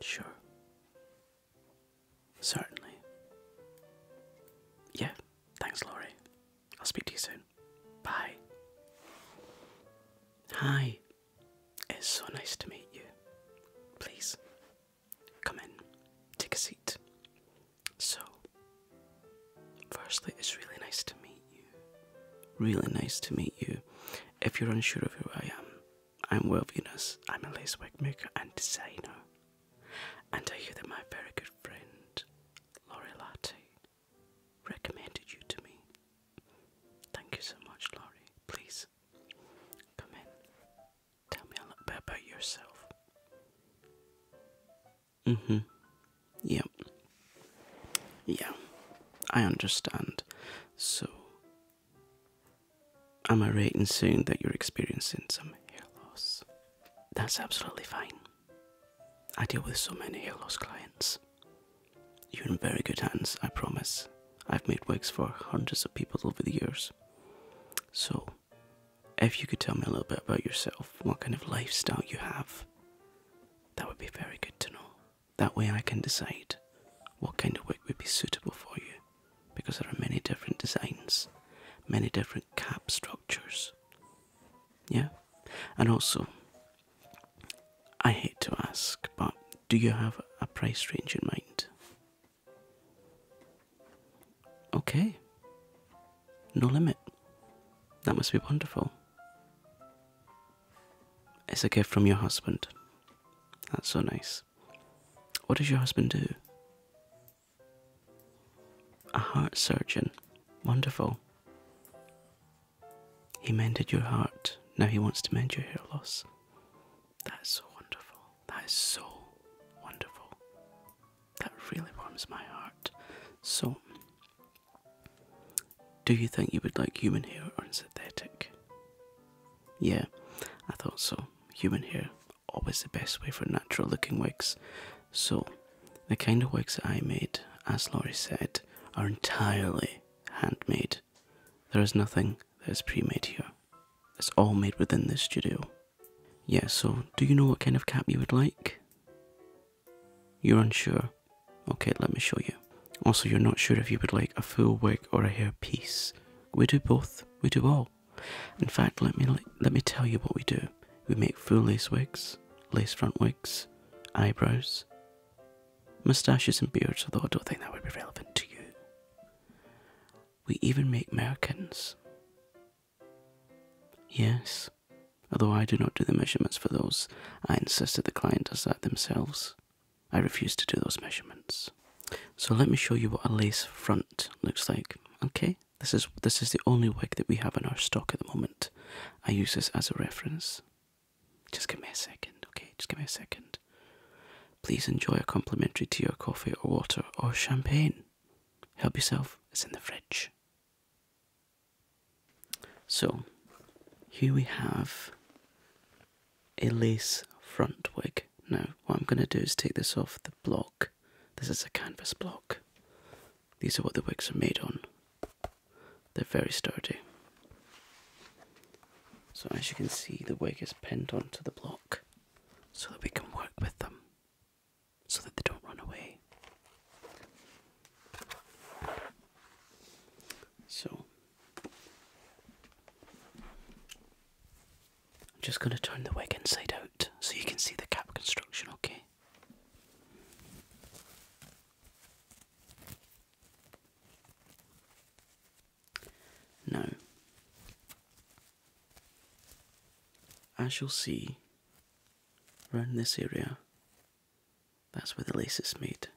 Sure. Certainly. Yeah, thanks, Laurie. I'll speak to you soon. Bye. Hi. It's so nice to meet you. Please, Come in, take a seat. So, firstly, it's really nice to meet you. Really nice to meet you. If you're unsure of who I am, I'm Will Venus. I'm a lace wig maker and designer. And I hear that my very good friend, Laurie Latte, recommended you to me. Thank you so much, Laurie. Please Come in. Tell me a little bit about yourself. Mm hmm. Yep. Yeah, I understand. So, am I right in saying that you're experiencing some hair loss? That's absolutely fine. I deal with so many hair loss clients. You're in very good hands, I promise. I've made wigs for hundreds of people over the years. So, if you could tell me a little bit about yourself, what kind of lifestyle you have, that would be very good to know. That way I can decide what kind of wig would be suitable for you because there are many different designs, many different cap structures. Yeah? And also, I hate to ask, but do you have a price range in mind? Okay. No limit. That must be wonderful. It's a gift from your husband. That's so nice. What does your husband do? A heart surgeon. Wonderful. He mended your heart. Now he wants to mend your hair loss. That is so wonderful. That is so wonderful. That really warms my heart. So, do you think you would like human hair or synthetic? Yeah, I thought so. Human hair, always the best way for natural looking wigs. So, the kind of wigs I made, as Laurie said, are entirely handmade. There is nothing that is pre made here. It's all made within this studio. Yes. so do you know what kind of cap you would like? You're unsure. Okay, let me show you. Also, you're not sure if you would like a full wig or a hair piece. We do both. We do all. In fact, let me let me tell you what we do. We make full lace wigs, lace front wigs, eyebrows, Mustaches and beards, although I don't think that would be relevant to you. We even make merkins. Yes, although I do not do the measurements for those, I insist that the client does that themselves. I refuse to do those measurements. So let me show you what a lace front looks like. Okay, this is this is the only wig that we have in our stock at the moment. I use this as a reference. Just give me a second, okay? Just give me a second. Please enjoy a complimentary tea or coffee or water or champagne. Help yourself, it's in the fridge. So, here we have a lace front wig. Now, what I'm going to do is take this off the block. This is a canvas block. These are what the wigs are made on. They're very sturdy. So, as you can see, the wig is pinned onto the block so that we can work with them so that they don't run away. So, I'm just going to turn the wig inside out so you can see the cap construction, okay? Now, as you'll see around this area, that's where the lace is made.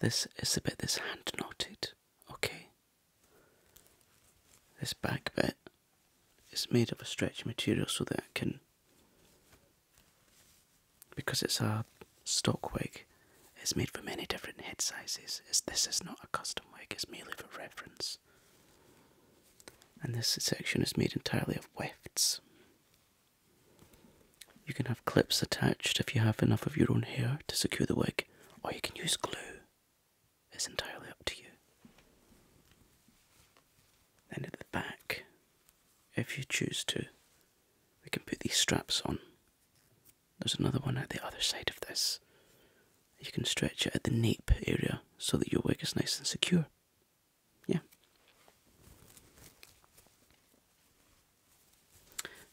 This is the bit that's hand knotted, okay? This back bit is made of a stretch material so that it can because it's a stock wig, it's made for many different head sizes. It's, this is not a custom wig, it's merely for reference. And this section is made entirely of wefts. You can have clips attached if you have enough of your own hair to secure the wig, or you can use glue. It's entirely up to you. Then at the back, if you choose to, we can put these straps on. There's another one at the other side of this. You can stretch it at the nape area so that your wig is nice and secure. Yeah.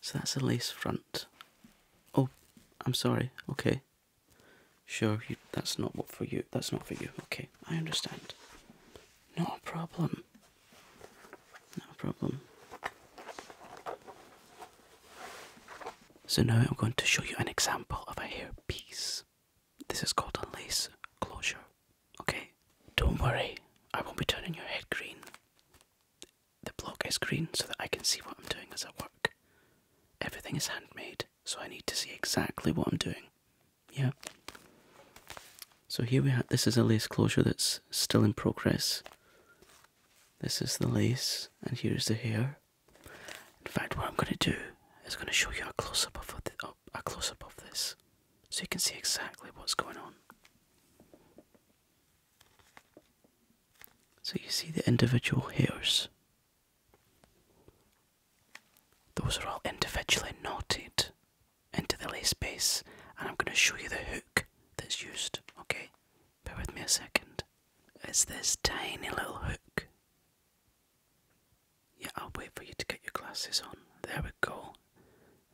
So that's a lace front. Oh, I'm sorry. Okay. Sure, that's not what for you. That's not for you. Okay, I understand. Not a problem. No problem. So now I'm going to show you an example of a hair piece. This is called a lace closure. Okay? Don't worry, I won't be turning your head green. The block is green so that I can see what I'm doing as I work. Everything is handmade, so I need to see exactly what I'm doing. Yeah. So here we have, this is a lace closure that's still in progress. This is the lace and here's the hair. In fact, what I'm going to do is going to show you a close-up of, oh, a close -up of this so you can see exactly what's going on. So you see the individual hairs. Those are all individually knotted into the lace base, and I'm going to show you the hook that's used. Okay, bear with me a second. It's this tiny little hook. Yeah, I'll wait for you to get your glasses on. There we go.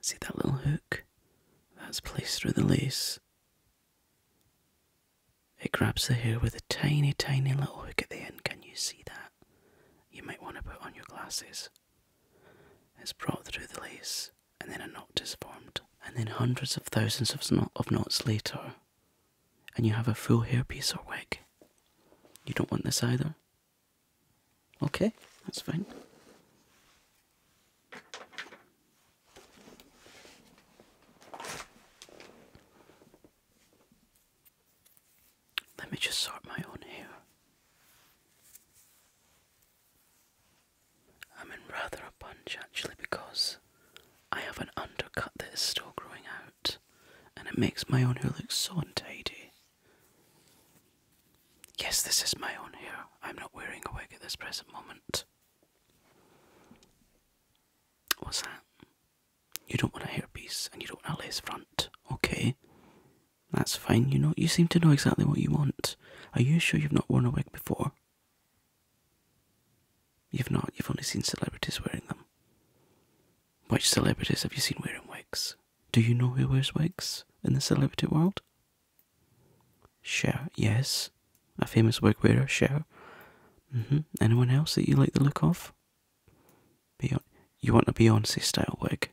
See that little hook? That's placed through the lace. It grabs the hair with a tiny, tiny little hook at the end. Can you see that? you might want to put on your glasses. It's brought through the lace, and then a knot is formed, and then hundreds of thousands of, of knots later, and you have a full hairpiece or wig. You don't want this either? Okay, that's fine. Let me just sort my own hair. I'm in rather a bunch actually because I have an undercut that is still growing out and it makes my own hair look so untidy. Yes, this is my own hair. I'm not wearing a wig at this present moment. What's that? You don't want a hairpiece and you don't want a lace front, okay? That's fine, you know you seem to know exactly what you want. Are you sure you've not worn a wig before? You've not, you've only seen celebrities wearing them. Which celebrities have you seen wearing wigs? Do you know who wears wigs in the celebrity world? Cher, yes. A famous wig wearer, Cher. Mm-hmm. Anyone else that you like the look of? Beyond, you want a Beyonce style wig?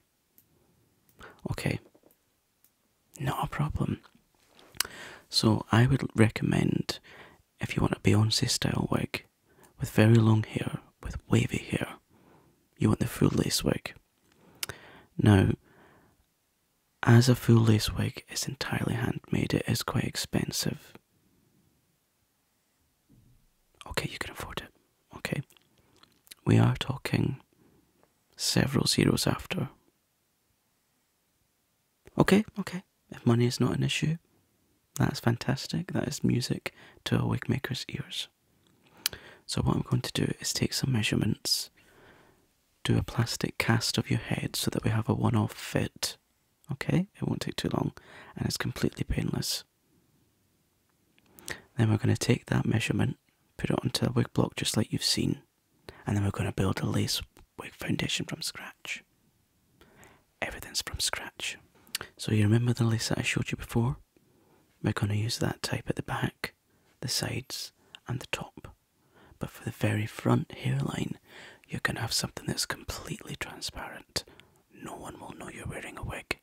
Okay, not a problem. So I would recommend if you want a Beyonce style wig with very long hair, with wavy hair, you want the full lace wig. Now, as a full lace wig is entirely handmade, it is quite expensive. Okay, you can afford it. Okay. We are talking several zeros after. Okay, okay. If money is not an issue, that's fantastic. That is music to a wig maker's ears. So, what I'm going to do is take some measurements, do a plastic cast of your head so that we have a one off fit. Okay, it won't take too long and it's completely painless. Then we're going to take that measurement, put it onto a wig block just like you've seen, and then we're going to build a lace wig foundation from scratch. Everything's from scratch. So you remember the lace that I showed you before? We're going to use that type at the back, the sides, and the top. But for the very front hairline, you're going to have something that's completely transparent no one will know you're wearing a wig.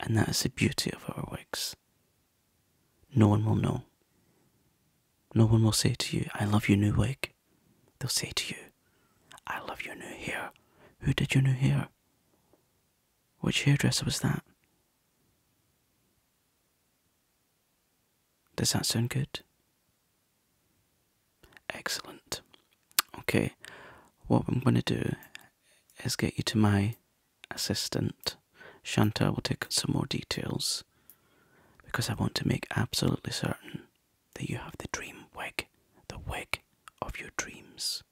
And that is the beauty of our wigs. No one will know. No one will say to you, I love your new wig. They'll say to you, I love your new hair. Who did your new hair? Which hairdresser was that? Does that sound good? Excellent. Okay, what I'm going to do is get you to my assistant. Shanta will take some more details because I want to make absolutely certain that you have the dream wig, the wig of your dreams.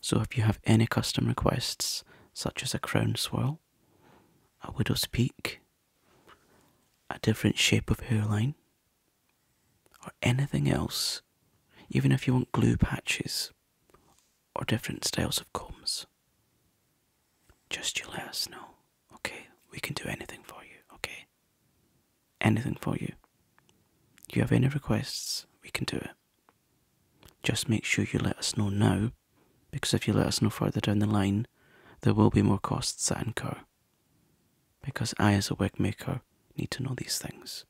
So if you have any custom requests, such as a crown swirl, a widow's peak, a different shape of hairline, or anything else, even if you want glue patches or different styles of combs, just you let us know, okay? We can do anything for you, okay? Anything for you. If you have any requests, we can do it. Just make sure you let us know now, because if you let us know further down the line, there will be more costs that incur. Because I, as a wig maker, need to know these things.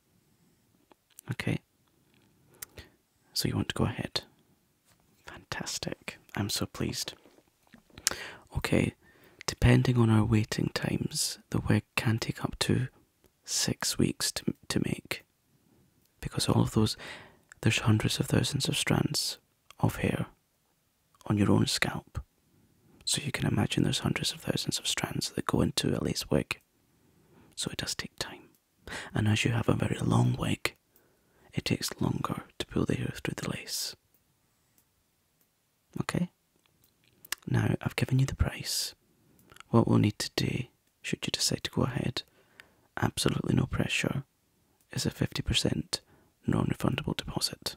Okay? So you want to go ahead. Fantastic. I'm so pleased. Okay, depending on our waiting times, the wig can take up to six weeks to, to make. Because all of those, there's hundreds of thousands of strands of hair on your own scalp. So you can imagine there's hundreds of thousands of strands that go into a lace wig. So it does take time. And as you have a very long wig, it takes longer to pull the hair through the lace. Okay? Now, I've given you the price. What we'll need to do, should you decide to go ahead, absolutely no pressure, is a 50% non refundable deposit.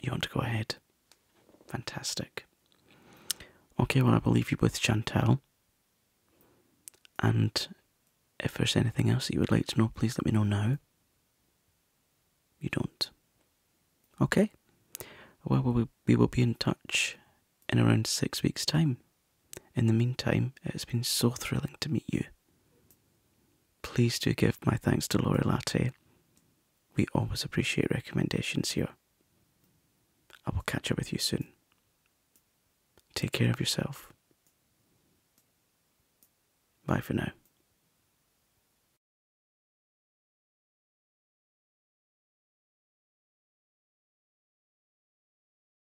You want to go ahead? Fantastic. Okay, well, I will leave you with Chantel. And if there's anything else that you would like to know, please let me know now. You don't. Okay? Well, we will be in touch in around six weeks' time. In the meantime, it has been so thrilling to meet you. Please do give my thanks to Laurie Latte. We always appreciate recommendations here. I will catch up with you soon. Take care of yourself. Bye for now.